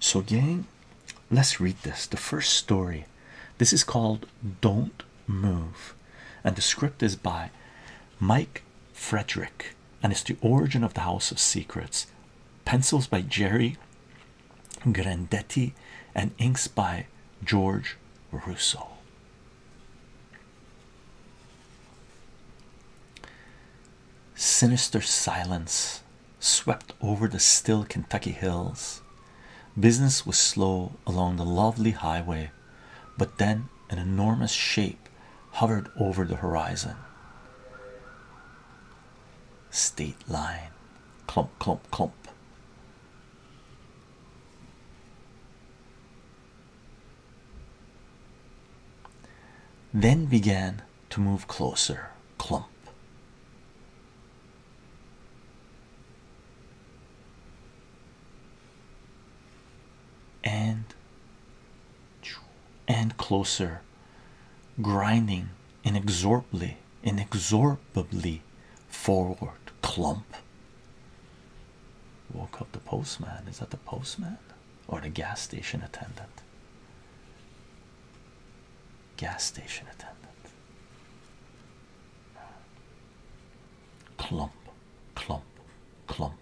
So, gang, let's read this. The first story. This is called Don't Move, and the script is by Mike Frederick, and it's the origin of the House of Secrets. Pencils by Jerry Grandetti and inks by George Russo. Sinister silence swept over the still Kentucky hills. Business was slow along the lovely highway, but then an enormous shape hovered over the horizon. State line, clump, clump, clump. Then began to move closer clump and and closer grinding inexorably inexorably forward clump woke up the postman is that the postman or the gas station attendant. Gas station attendant. Clump, clump, clump.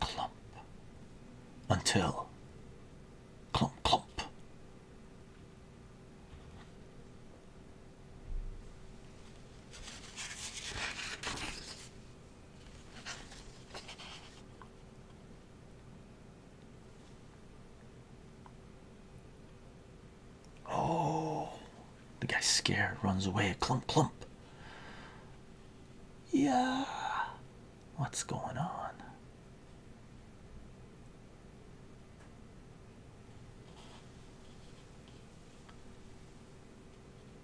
Clump until clump, clump. Oh, the guy's scared, runs away, clump, clump. Yeah, what's going on?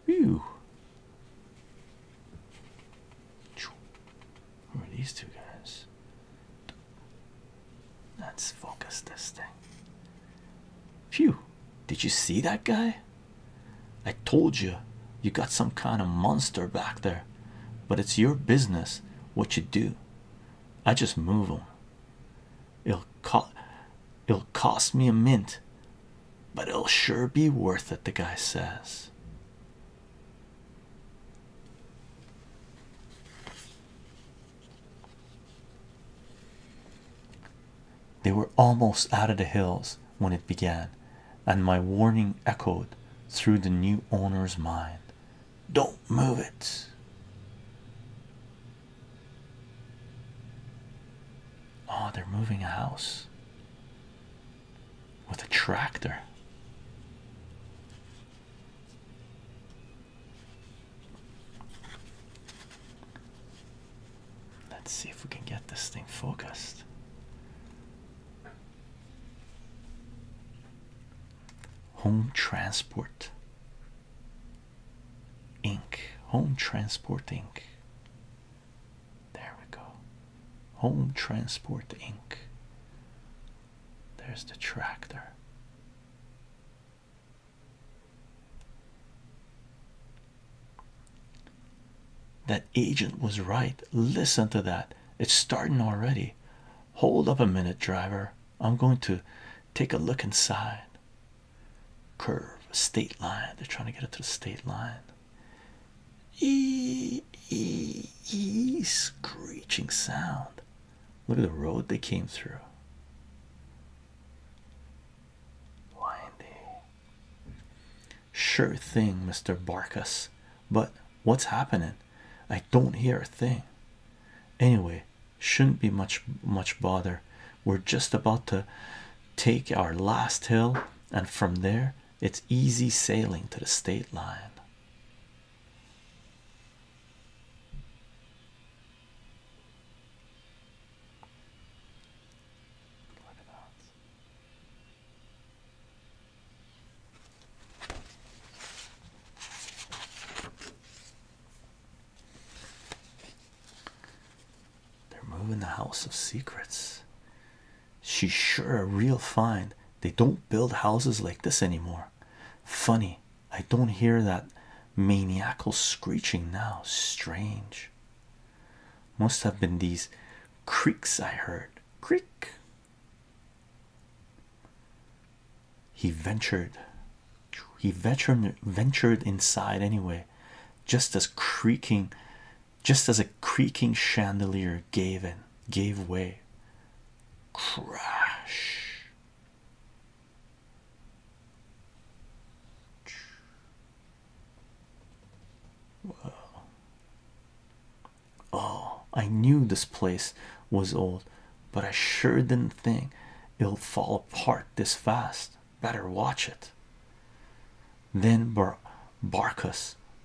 Whew. Who are these two guys? Let's focus this thing. Phew. Did you see that guy? I told you, you got some kind of monster back there, but it's your business what you do. I just move him. It'll cost, it'll cost me a mint, but it'll sure be worth it, the guy says. They were almost out of the hills when it began, and my warning echoed through the new owner's mind. Don't move it. Oh, they're moving a house with a tractor. Let's see if we can get this thing focused. Home transport. Inc. Home Transport Inc. There we go. Home Transport Inc. There's the tractor. That agent was right. Listen to that. It's starting already. Hold up a minute, driver. I'm going to take a look inside curve state line they're trying to get it to the state line e, e, e screeching sound look at the road they came through windy sure thing mr barkus but what's happening i don't hear a thing anyway shouldn't be much much bother we're just about to take our last hill and from there it's easy sailing to the state line they're moving the House of Secrets. She's sure a real find. They don't build houses like this anymore. Funny, I don't hear that maniacal screeching now. Strange. Must have been these creaks I heard. Creak. He ventured he ventured ventured inside anyway just as creaking just as a creaking chandelier gave in gave way crash oh i knew this place was old but i sure didn't think it would fall apart this fast better watch it. Then Bar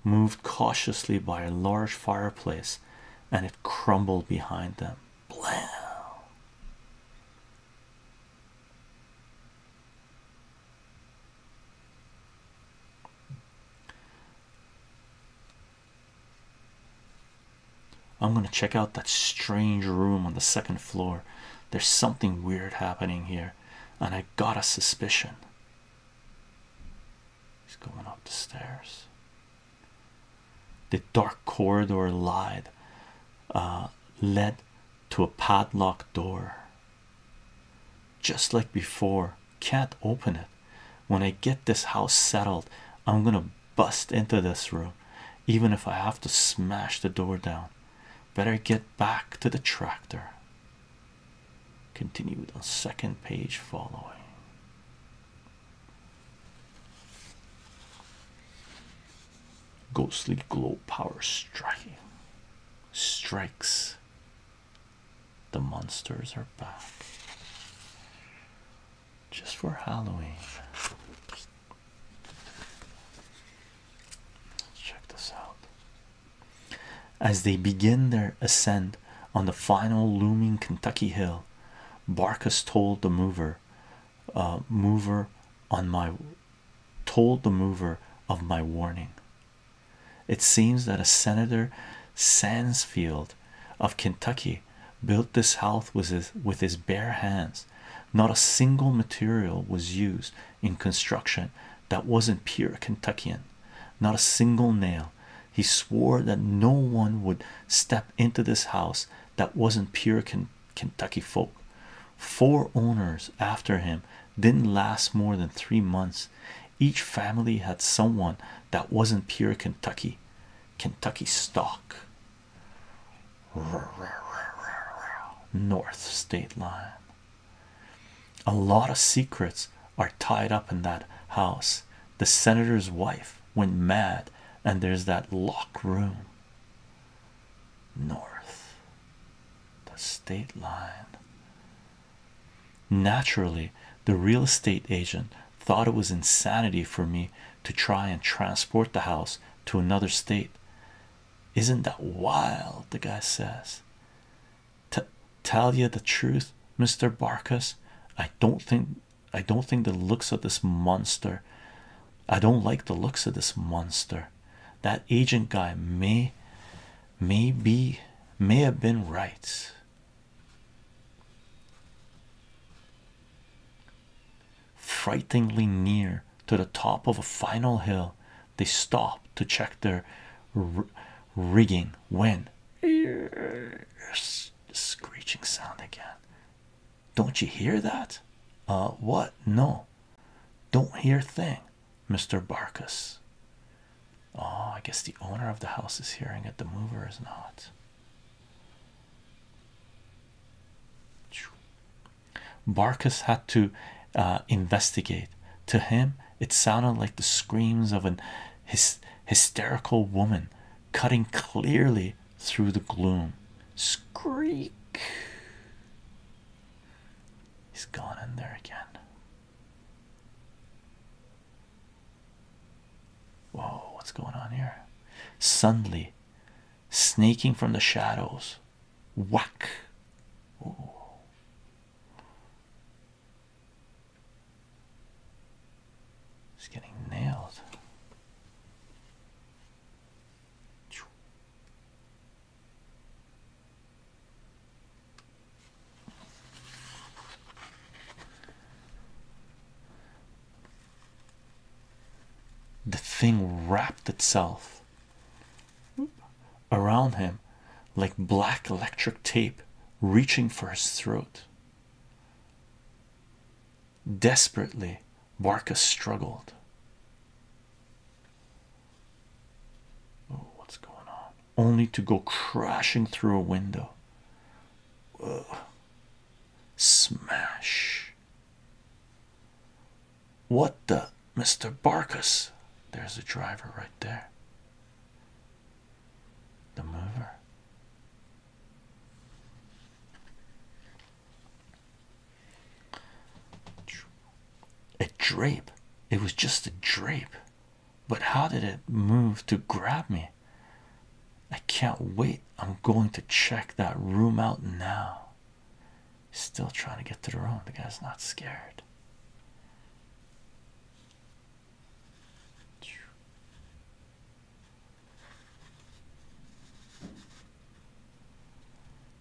moved cautiously by a large fireplace and it crumbled behind them. Blam. I'm gonna check out that strange room on the second floor. There's something weird happening here, and I got a suspicion. He's going up the stairs. The dark corridor lied, uh, led to a padlocked door. Just like before, can't open it. When I get this house settled, I'm gonna bust into this room, even if I have to smash the door down. Better get back to the tractor. Continued on second page following. Ghostly glow power striking strikes. The monsters are back just for Halloween. Let's check this out. As they begin their ascent on the final looming Kentucky hill, Barkus told the mover, uh, mover on my told the mover of my warning. It seems that a senator Sansfield of Kentucky built this house with his, with his bare hands. Not a single material was used in construction that wasn't pure Kentuckian, not a single nail. He swore that no one would step into this house that wasn't pure Kentucky folk. Four owners after him didn't last more than three months. Each family had someone that wasn't pure Kentucky, Kentucky stock north state line. A lot of secrets are tied up in that house. The senator's wife went mad, and there's that lock room. North, the state line. Naturally, the real estate agent thought it was insanity for me to try and transport the house to another state. Isn't that wild? The guy says. T tell you the truth, Mr. Barkas. I don't think I don't think the looks of this monster. I don't like the looks of this monster. That agent guy may may be may have been right. Frighteningly near to the top of a final hill, they stopped to check their rigging when screeching sound again. Don't you hear that? Uh, what? No, don't hear thing, Mr. Barkus. Oh, I guess the owner of the house is hearing it, the mover is not. Barkis had to uh, investigate. To him, it sounded like the screams of an hysterical woman cutting clearly through the gloom. Screak! He's gone in there again. Whoa, what's going on here? Suddenly, snaking from the shadows. Whack. Ooh. getting nailed. The thing wrapped itself around him like black electric tape, reaching for his throat. Desperately, Barca struggled. Oh, what's going on? Only to go crashing through a window. Ugh. Smash. What the Mr. Barkus? There's a driver right there. The mover. A drape. It was just a drape. But how did it move to grab me? I can't wait. I'm going to check that room out now. Still trying to get to the room. The guy's not scared.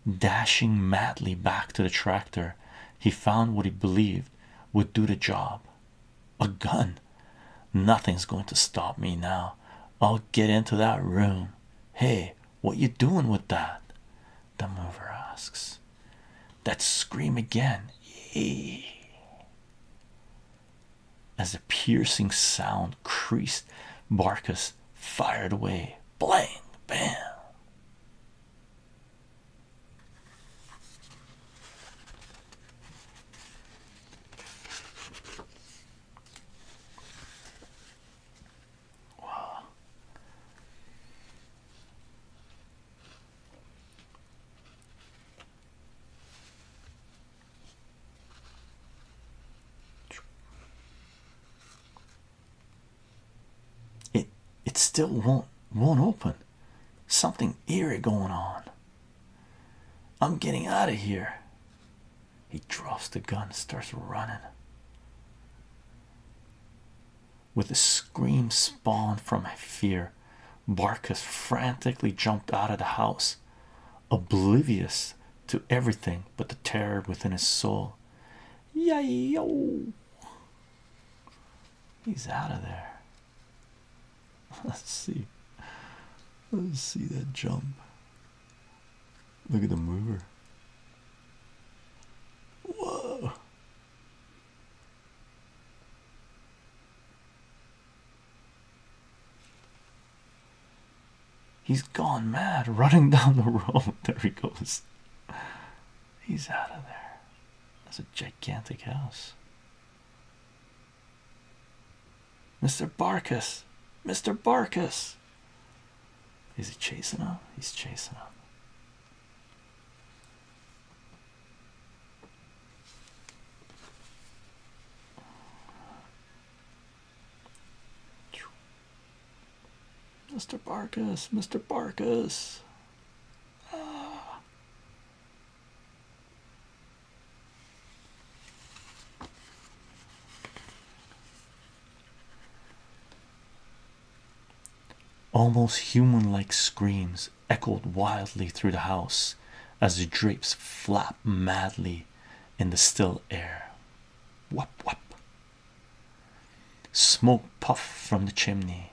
Dashing madly back to the tractor, he found what he believed would do the job a gun. Nothing's going to stop me now. I'll get into that room. Hey, what you doing with that? The mover asks. That scream again. Yee. As a piercing sound creased, Barkus fired away. Blang, bam. Wow. It it still won't won't open. Something eerie going on. I'm getting out of here. He drops the gun and starts running. With a scream spawned from my fear, Barcus frantically jumped out of the house, oblivious to everything but the terror within his soul. Yayo! He's out of there. Let's see. Let's see that jump. Look at the mover. Whoa. He's gone mad running down the road. There he goes. He's out of there. That's a gigantic house. Mr. Barkis, Mr. Barkis. Is he chasing him? He's chasing him. Mr. Barkis, Mr. Barkis. Ah. Almost human like screams echoed wildly through the house as the drapes flap madly in the still air. Whop, whop. Smoke puff from the chimney.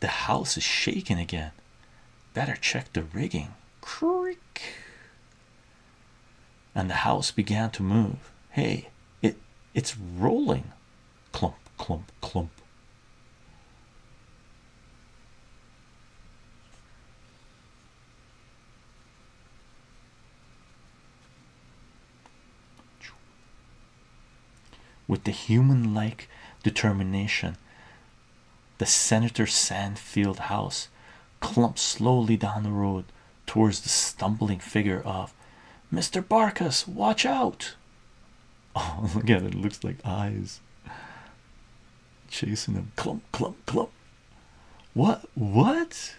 The, house is shaking again. Better check the rigging. Creak. And the house began to move. Hey, it it's rolling. Clump, clump, clump. With the human like determination the Senator Sandfield house clumped slowly down the road towards the stumbling figure of Mr. Barkus. Watch out! Oh, look at it, looks like eyes chasing him. Clump, clump, clump. What? What?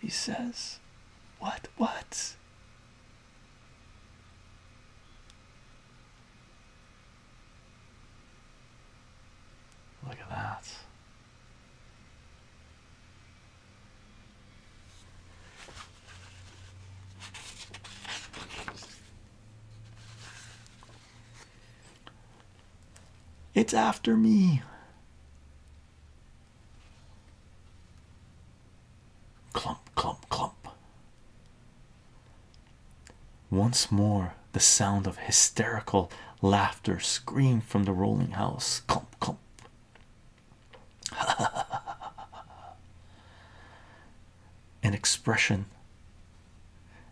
He says, What? What? Look at that. It's after me. Clump, clump, clump. Once more, the sound of hysterical laughter screamed from the rolling house. Clump, clump. An expression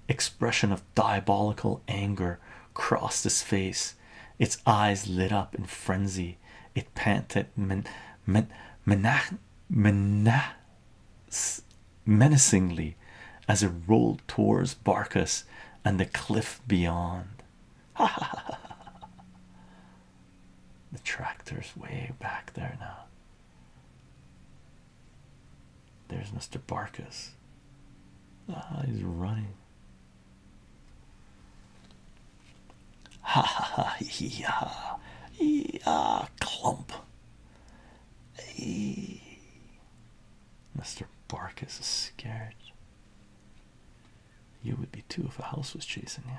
expression of diabolical anger crossed his face. Its eyes lit up in frenzy. It panted, men, men, menach, menach, menacingly as it rolled towards Barkus and the cliff beyond. ha ha ha the tractor's way back there now. There's Mr. Barkus. Ah, he's running. Ha ha ha, yeah, yeah, clump. Hey. Mr. Barkus is scared. You would be too if a house was chasing you.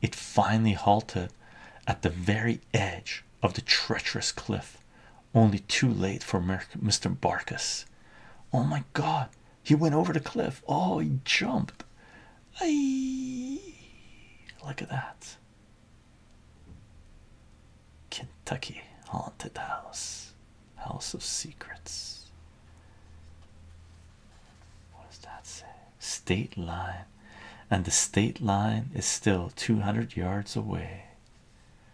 It finally halted at the very edge of the treacherous cliff only too late for Mr. Barkis. Oh my god, he went over the cliff. Oh, he jumped. Aye. Look at that. Kentucky Haunted House, House of Secrets. What does that say? State line, and the state line is still 200 yards away.